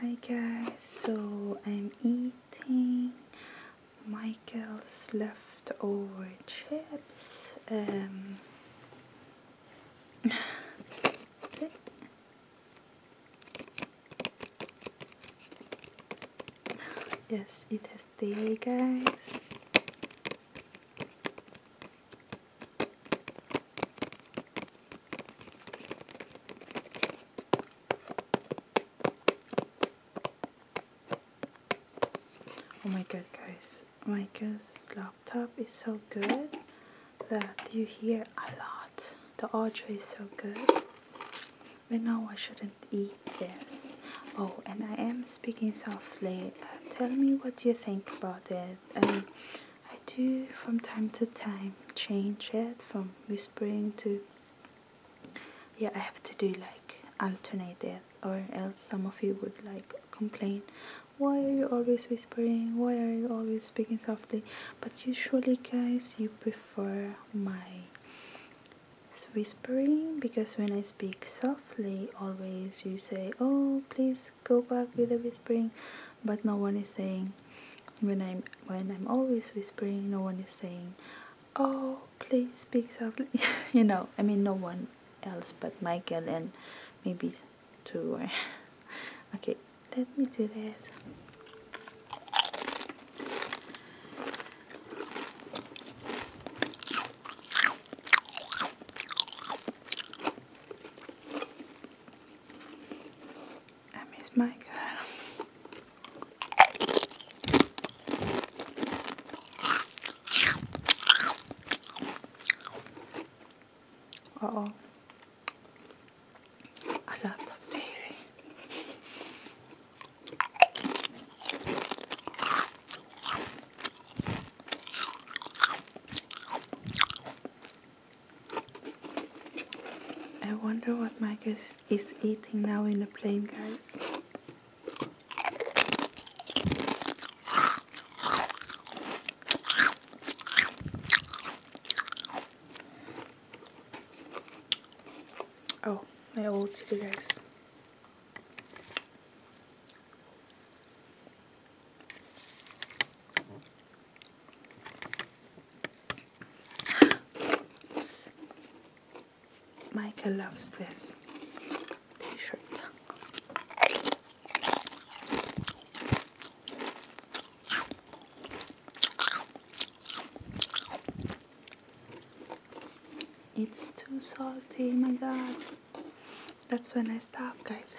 Hi guys, so I'm eating Michael's leftover chips. Um, yes, it is has guys. Oh my god guys, oh Micah's laptop is so good that you hear a lot. The audio is so good. We know I shouldn't eat this. Oh, and I am speaking softly. Uh, tell me what you think about it. Um, I do from time to time change it from whispering to yeah I have to do like alternate that, or else some of you would like complain why are you always whispering why are you always speaking softly but usually guys you prefer my whispering because when I speak softly always you say oh please go back with the whispering but no one is saying when i'm when i'm always whispering no one is saying oh please speak softly you know i mean no one else but michael and maybe two or okay let me do this I miss my girl. oh. A lot of dairy. I wonder what Marcus is eating now in the plane, guys. Oh, my old TV, guys. Oops. Michael loves this t-shirt. It's too salty, my god. That's when I stop, guys.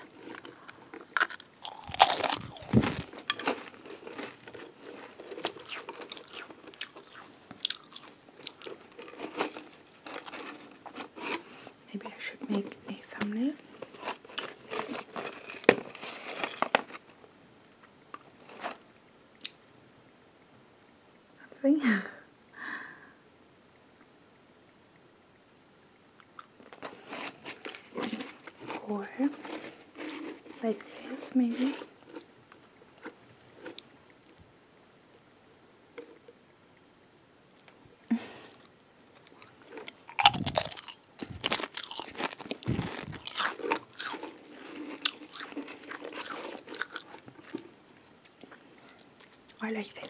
Maybe I should make a thumbnail. Something. or like this maybe or like this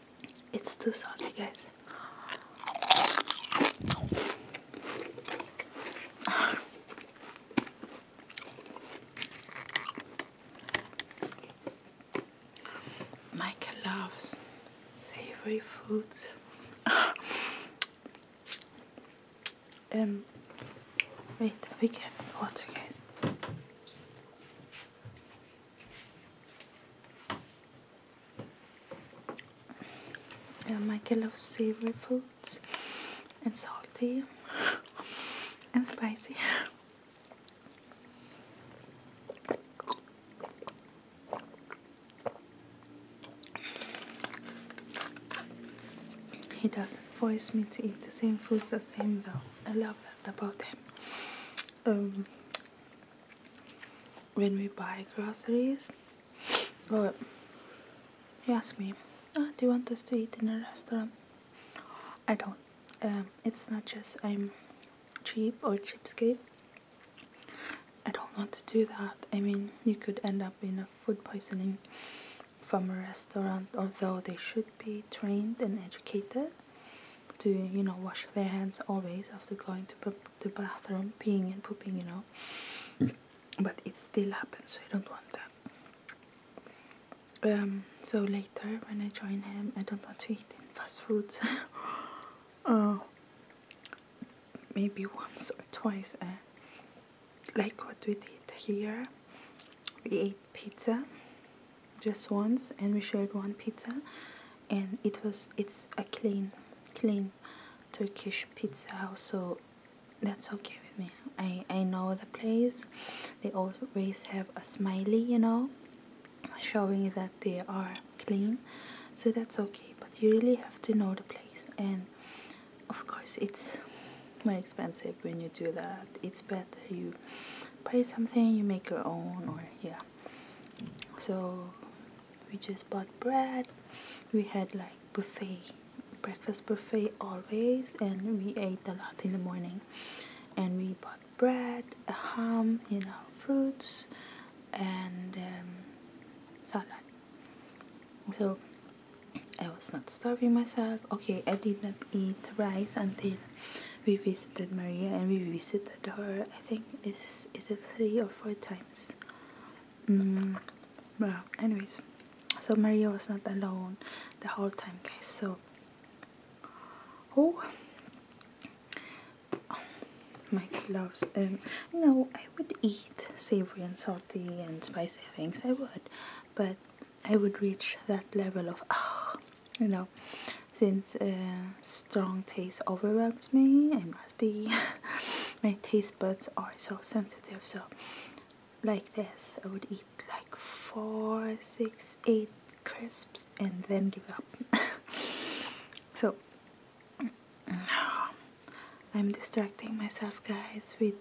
It's too salty, guys. Michael loves savory foods. um, wait, we can water, guys. And Mike loves savory foods and salty and spicy. He doesn't force me to eat the same foods as him though. I love that about him um, when we buy groceries, well, he asked me, ah, do you want us to eat in a restaurant? I don't. Um, it's not just I'm cheap or cheapskate. I don't want to do that. I mean, you could end up in a food poisoning from a restaurant, although they should be trained and educated to you know wash their hands always after going to the bathroom, peeing and pooping, you know. Mm. But it still happens, so I don't want that. Um, so later when I join him, I don't want to eat in fast food. uh, maybe once or twice. Uh, like what we did here, we ate pizza just once and we shared one pizza and it was it's a clean clean Turkish pizza house so that's okay with me I, I know the place they always have a smiley you know showing that they are clean so that's okay but you really have to know the place and of course it's more expensive when you do that it's better you buy something you make your own or yeah so we just bought bread we had like buffet breakfast buffet always and we ate a lot in the morning and we bought bread a ham you know fruits and um, salad so I was not starving myself okay I did not eat rice until we visited Maria and we visited her I think is is it three or four times mm, well anyways so Maria was not alone the whole time guys so oh, my gloves um you I would eat savory and salty and spicy things I would but I would reach that level of oh you know since uh, strong taste overwhelms me it must be my taste buds are so sensitive so like this i would eat like four six eight crisps and then give up so i'm distracting myself guys with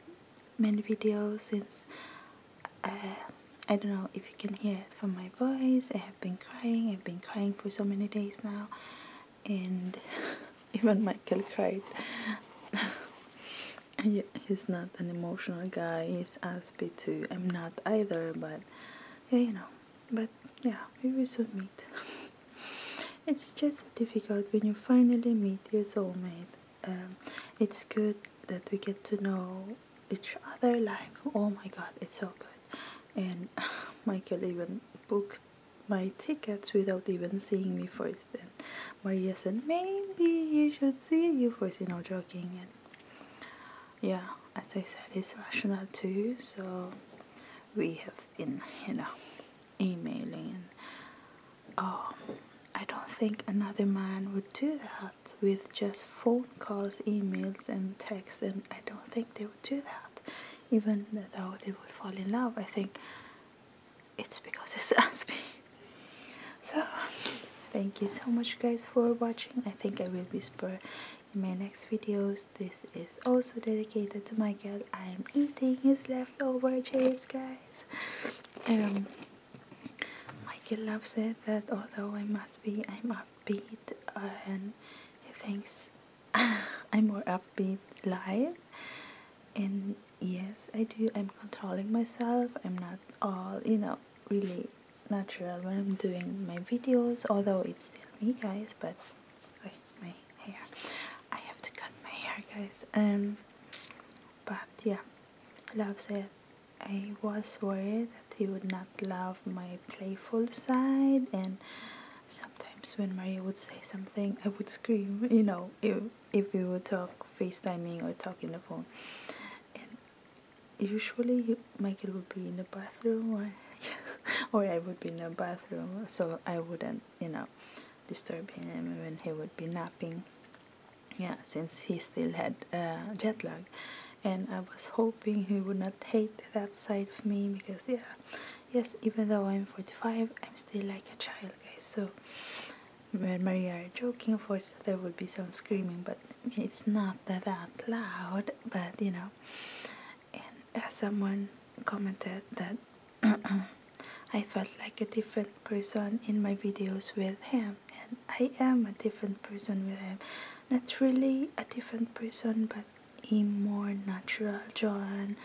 many videos since uh, I don't know if you can hear it from my voice. I have been crying. I've been crying for so many days now, and even Michael cried. he's not an emotional guy. He's asked too. I'm not either, but yeah, you know. But yeah, we will meet. it's just so difficult when you finally meet your soulmate. Um, it's good that we get to know each other live oh my god it's so good and michael even booked my tickets without even seeing me first and maria said maybe you should see you first you know joking and yeah as i said he's rational too so we have been you know emailing and oh i don't think another man would do that with just phone calls, emails, and texts, and I don't think they would do that. Even though they would fall in love, I think it's because it's Aspie. So, thank you so much, guys, for watching. I think I will whisper in my next videos. This is also dedicated to my girl. I am eating his leftover chips, guys. Um, Michael Love said that although I must be, I'm upbeat, and he thinks I'm more upbeat live. And yes, I do. I'm controlling myself. I'm not all, you know, really natural when I'm doing my videos, although it's still me, guys. But my hair, I have to cut my hair, guys. Um, but yeah, Love said I was worried that he would not love my playful side and sometimes when Maria would say something I would scream you know if, if we would talk FaceTiming or talk in the phone and usually he, Michael would be in the bathroom or I would be in the bathroom so I wouldn't you know disturb him when he would be napping yeah since he still had jet lag and I was hoping he would not hate that side of me because yeah yes even though I'm 45 I'm still like a child guys so when Maria are joking of course there would be some screaming but it's not that, loud but you know and uh, someone commented that I felt like a different person in my videos with him and I am a different person with him. Not really a different person, but a more natural John.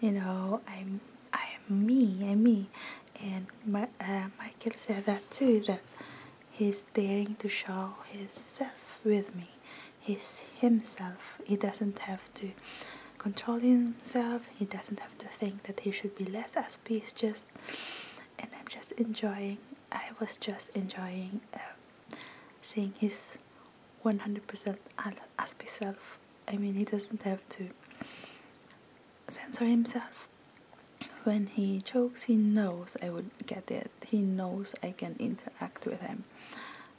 You know, I'm I'm me. I'm me. And my, uh, Michael said that too. That he's daring to show his self with me. He's himself. He doesn't have to control himself. He doesn't have to think that he should be less as he's just and I'm just enjoying I was just enjoying um, seeing his 100% Aspie self I mean he doesn't have to censor himself when he jokes he knows I would get it he knows I can interact with him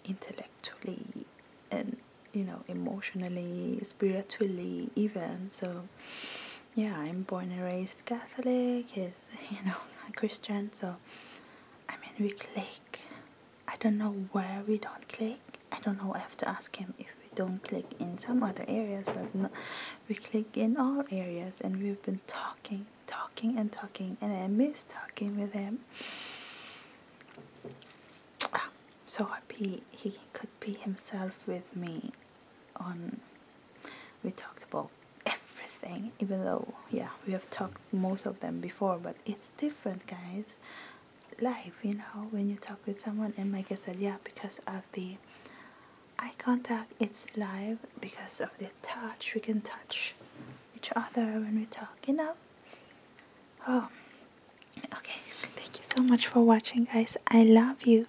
intellectually and you know emotionally spiritually even so yeah, I'm born and raised Catholic, he's, you know, a Christian, so I mean, we click. I don't know where we don't click. I don't know, I have to ask him if we don't click in some other areas, but no, we click in all areas, and we've been talking, talking, and talking, and I miss talking with him. Ah, so happy he could be himself with me on we talked about everything even though yeah we have talked most of them before but it's different guys life you know when you talk with someone and like i said yeah because of the eye contact it's live because of the touch we can touch each other when we talk you know oh okay thank you so much for watching guys i love you